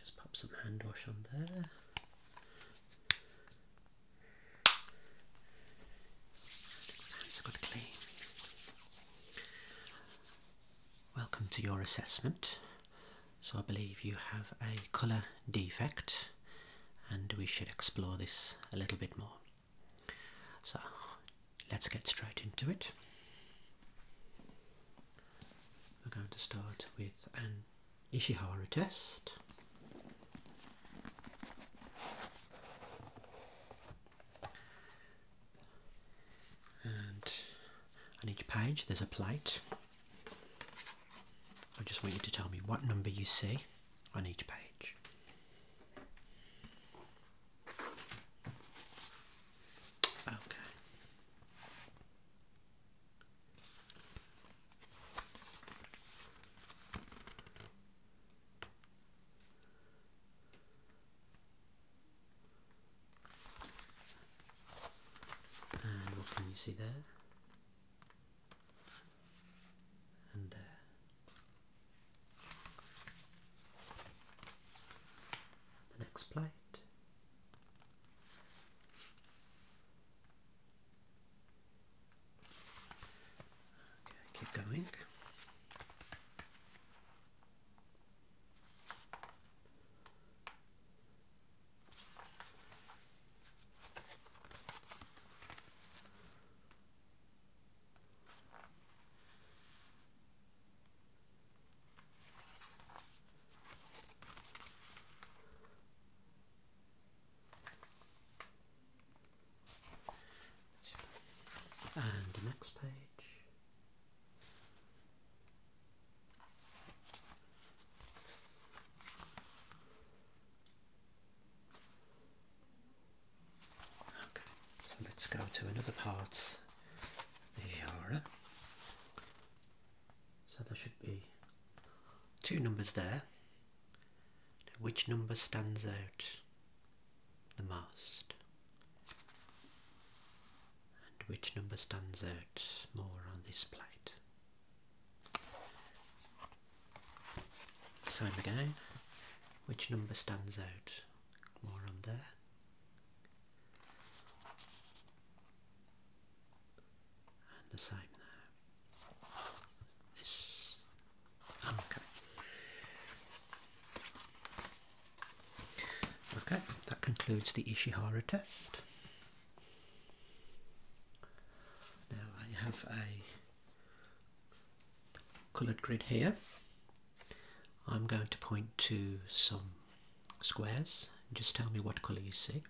just pop some hand on there. Hands good clean. Welcome to your assessment. So I believe you have a colour defect and we should explore this a little bit more. So let's get straight into it. We're going to start with an Ishihara test. And on each page there's a plate. I just want you to tell me what number you see on each page. Okay. And what can you see there? And the next plate. keep going. And the next page. Okay, so let's go to another part the genre. So there should be two numbers there. which number stands out the most? And which number stands out more on this plate? Same again. Which number stands out? more on there. And the same there. This. Okay. Okay, that concludes the Ishihara test. Now I have a coloured grid here. I'm going to point to some squares. Just tell me what colour you see.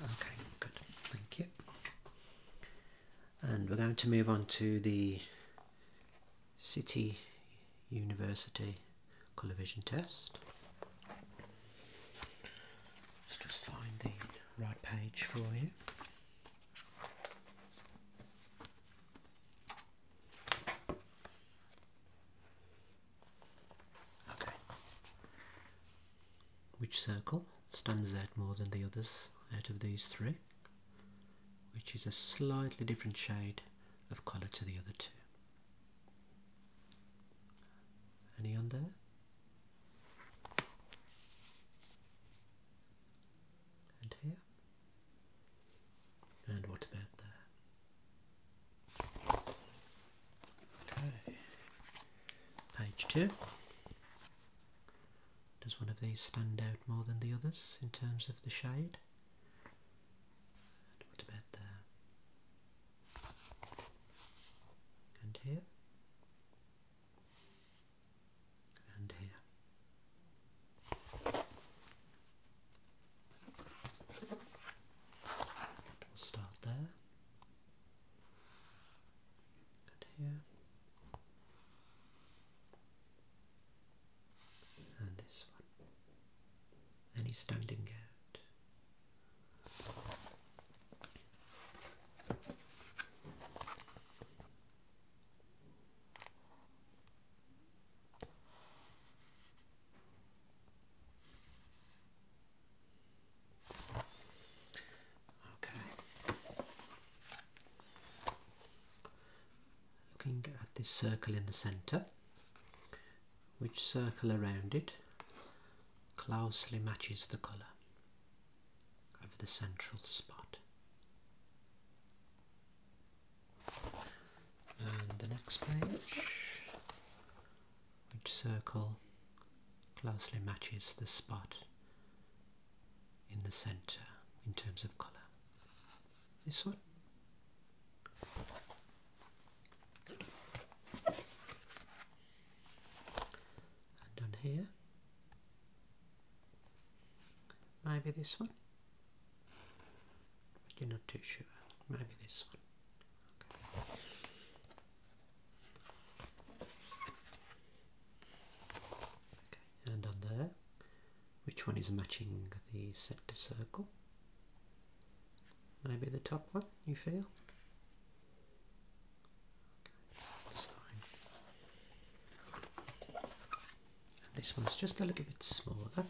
Okay, good, thank you. And we're going to move on to the City University Colour Vision Test. Let's just find the right page for you. Okay. Which circle stands out more than the others out of these three? Which is a slightly different shade of colour to the other two. Any on there? And here. And what about there? Okay. Page two. Does one of these stand out more than the others in terms of the shade? And what about there? And here? and here. we'll start there and here and this one. Any standing out Looking at this circle in the centre, which circle around it closely matches the colour over the central spot. And the next page, which circle closely matches the spot in the centre in terms of colour. This one and done here maybe this one but you're not too sure maybe this one okay. okay and on there which one is matching the sector circle maybe the top one you feel this one's just a little bit smaller.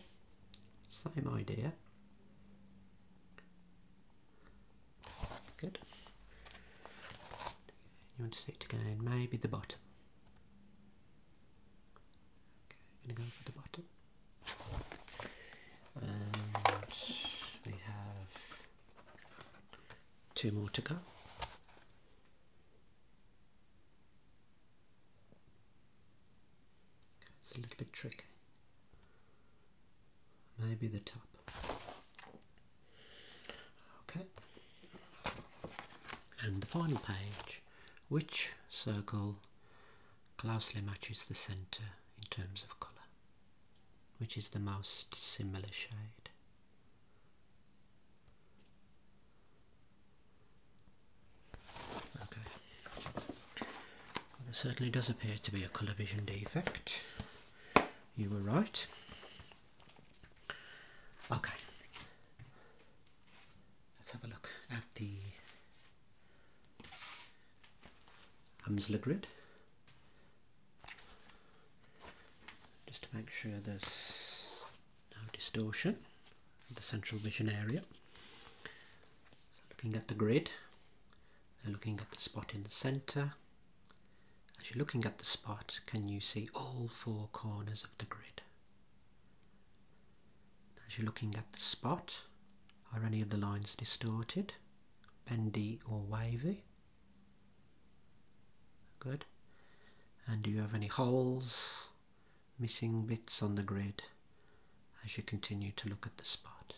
Same idea. Good. You want to see it again, maybe the bottom. Okay, going for the bottom. And we have Two more to go. It's a little bit tricky. Maybe the top. Okay. And the final page, which circle closely matches the centre in terms of colour which is the most similar shade. Okay. there certainly does appear to be a colour vision defect. You were right. Okay. Let's have a look at the Amsler grid just to make sure there's no distortion in the central vision area. looking at the grid, then looking at the spot in the centre. As you're looking at the spot, can you see all four corners of the grid? As you're looking at the spot, are any of the lines distorted, bendy or wavy? Good. And do you have any holes, missing bits on the grid as you continue to look at the spot?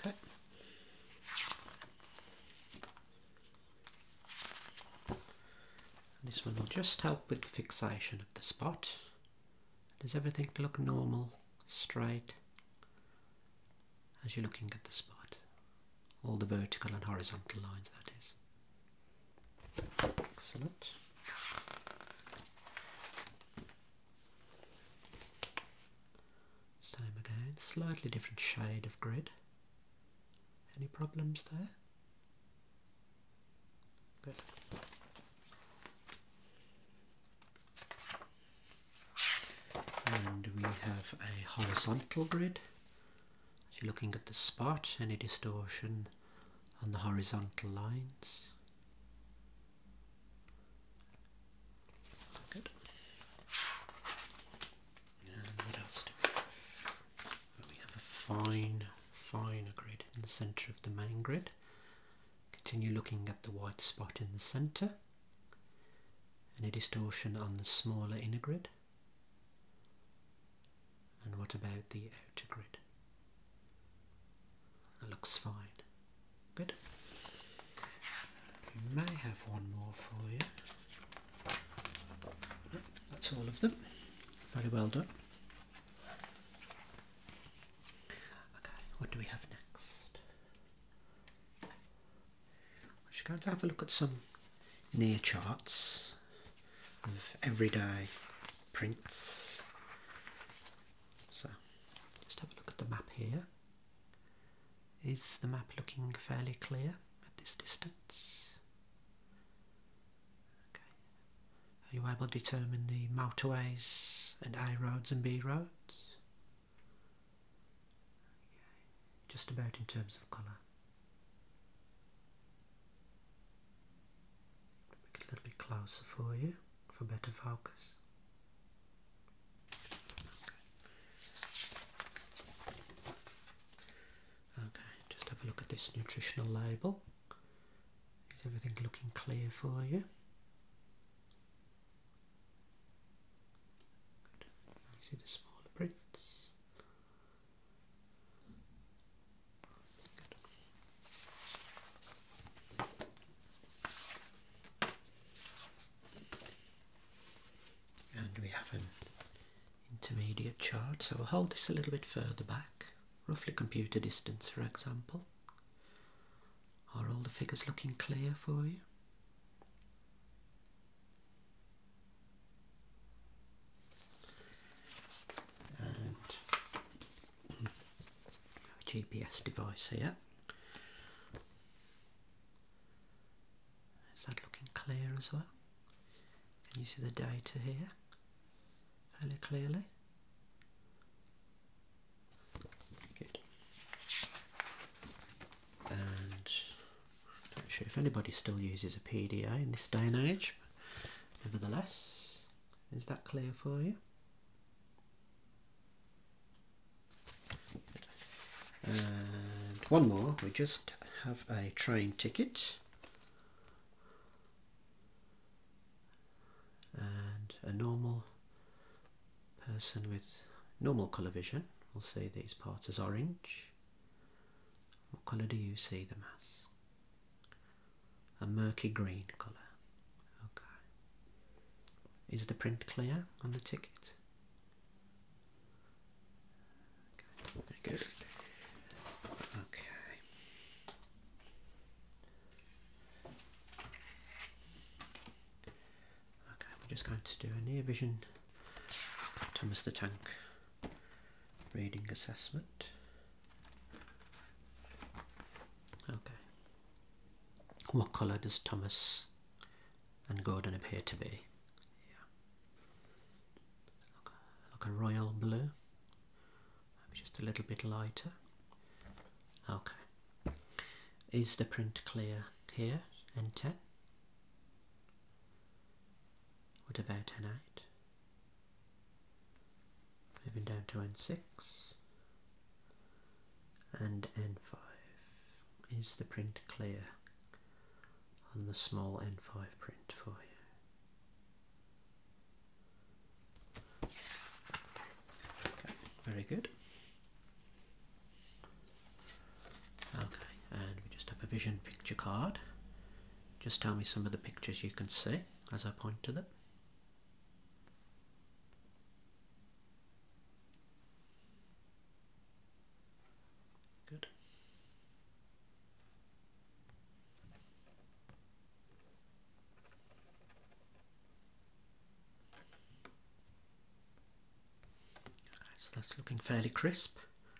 Okay. This one will just help with the fixation of the spot. Does everything look normal, straight? as you're looking at the spot, all the vertical and horizontal lines that is. Excellent. Same again, slightly different shade of grid. Any problems there? Good and we have a horizontal grid so you're looking at the spot any distortion on the horizontal lines good and what else we have a fine finer grid in the center of the main grid Continue looking at the white spot in the centre. Any distortion on the smaller inner grid? And what about the outer grid? looks fine. Good. We may have one more for you. That's all of them. Very well done. Okay, what do we have next? We're just going to have a look at some near charts of everyday prints. So, just have a look at the map here. Is the map looking fairly clear at this distance? Okay. Are you able to determine the motorways and A roads and B roads? Just about in terms of colour. Make it a little bit closer for you for better focus. Okay, just have a look at this nutritional label. Is everything looking clear for you? You see the smaller prints. And we have an intermediate chart, so we'll hold this a little bit further back, roughly computer distance for example. Are all the figures looking clear for you? And GPS device here. Is that looking clear as well? Can you see the data here fairly clearly? Good. And I'm not sure if anybody still uses a PDA in this day and age. Nevertheless, is that clear for you? And one more, we just have a train ticket. and a normal person with normal colour vision will see these parts as orange. What colour do you see the mass? A murky green colour. Okay. Is the print clear on the ticket? Okay, very Okay. Okay, we're just going to do a near vision Thomas the Tank reading assessment. Okay. What colour does Thomas and Gordon appear to be? Yeah. Like a royal blue. just a little bit lighter. Okay. Is the print clear here? ten. What about N eight? Moving down to N6 and N5. Is the print clear on the small N5 print for you? Very good. Okay, and we just have a vision picture card. Just tell me some of the pictures you can see as I point to them. Good so that's looking fairly crisp,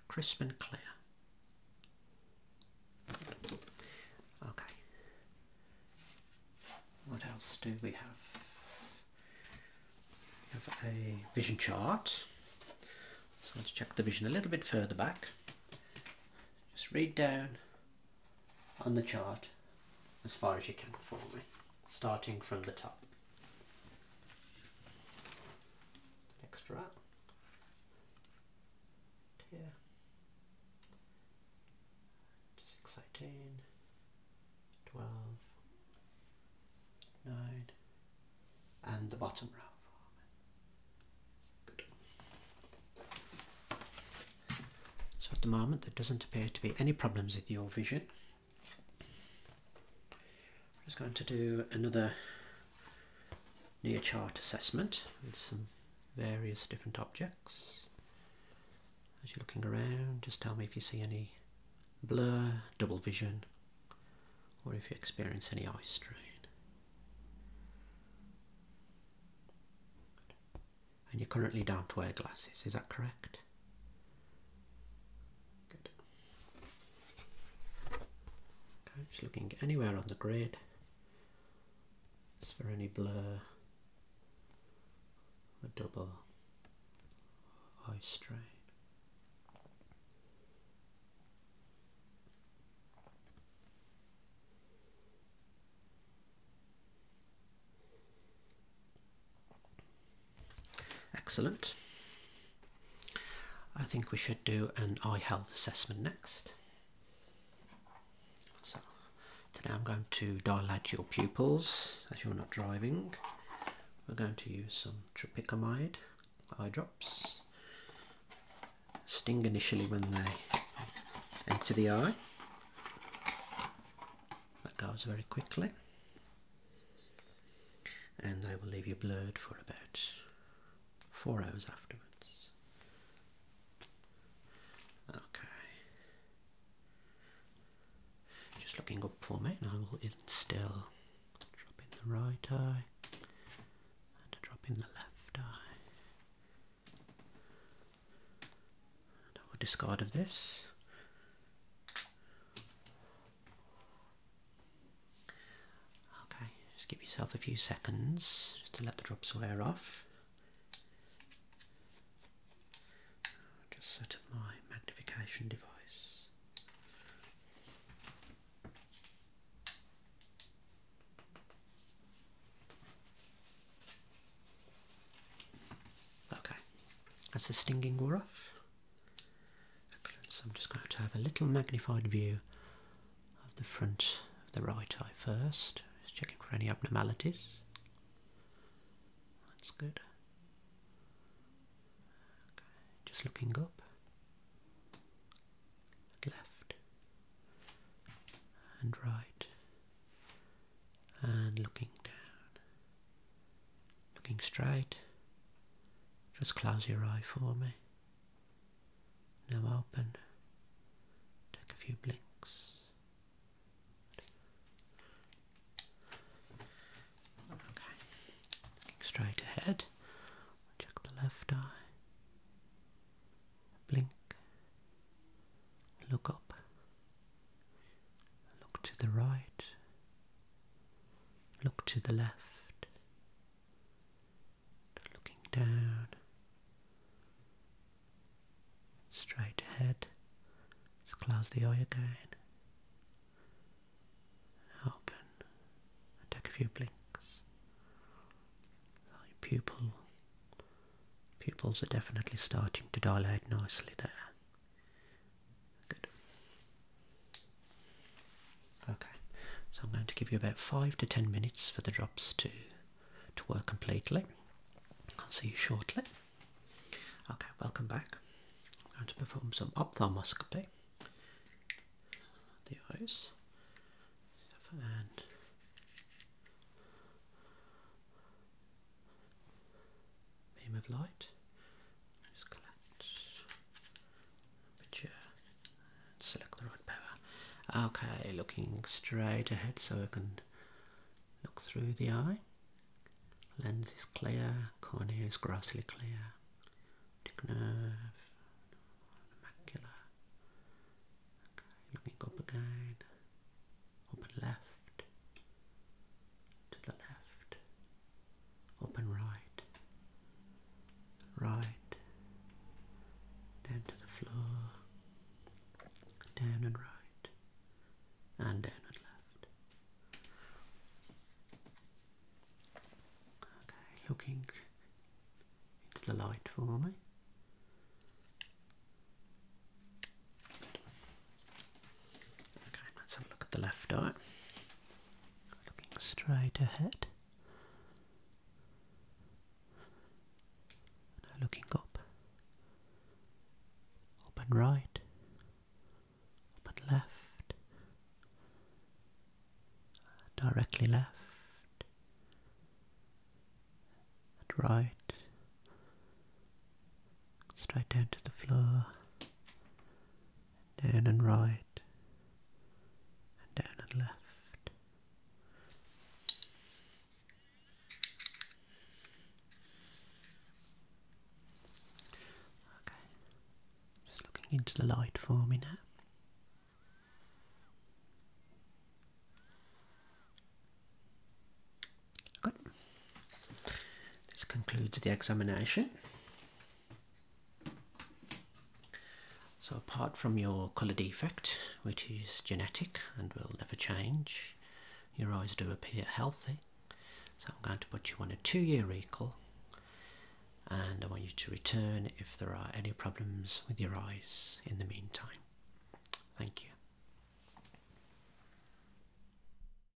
crisp and clear. Okay. What else do we have? We have a vision chart. So let's check the vision a little bit further back. Just read down on the chart as far as you can for me, starting from the top extra here six eighteen twelve nine and the bottom row Good. So at the moment there doesn't appear to be any problems with your vision I'm just going to do another near chart assessment with some various different objects. As you're looking around, just tell me if you see any blur, double vision, or if you experience any eye strain. And you are currently down to wear glasses, is that correct? just looking anywhere on the grid. Is there any blur? A double eye strain. Excellent. I think we should do an eye health assessment next. So today I'm going to dilate your pupils as you're not driving. We're going to use some tropicamide eye drops. Sting initially when they enter the eye. That goes very quickly. And I will leave you blurred for about four hours afterwards. Okay. Just looking up for me, and I will instill. Drop in the right eye and a drop in the left eye. Double discard of this. Okay, just give yourself a few seconds just to let the drops wear off. just set up my magnification device. Okay, as the stinging wore off, so I'm just going to have a little magnified view of the front of the right eye first, just checking for any abnormalities. That's good. Just looking up left and right and looking down, looking straight. Just close your eye for me. Now open. Take a few blinks. Okay. Looking straight ahead. Check the left eye. Blink. Look up. Look to the right. Look to the left. Looking down. Straight ahead. close the eye again. Open. take a few blinks. Your pupil pupils are definitely starting to dilate nicely there. Good. Okay, so I'm going to give you about five to ten minutes for the drops to to work completely. I'll see you shortly. Okay, welcome back. I'm going to perform some ophthalmoscopy. The eyes beam of light. Just collect picture and select the right power. Okay, looking straight ahead so I can look through the eye. Lens is clear, cornea is grossly clear. Optic macula. Okay, looking up again, up and left to the left, open right, right, then to the floor, down and right, and down and left. Okay, looking into the light for me. Okay, let's have a look at the left eye. Looking straight ahead. Now looking up. Up and right. Up and left. Directly left. right. Straight down to the floor down and right, and down and left. Okay, just looking into the light for me now. Good. This concludes the examination. So apart from your colour defect, which is genetic and will never change, your eyes do appear healthy. So I'm going to put you on a two-year recall and I want you to return if there are any problems with your eyes in the meantime. Thank you.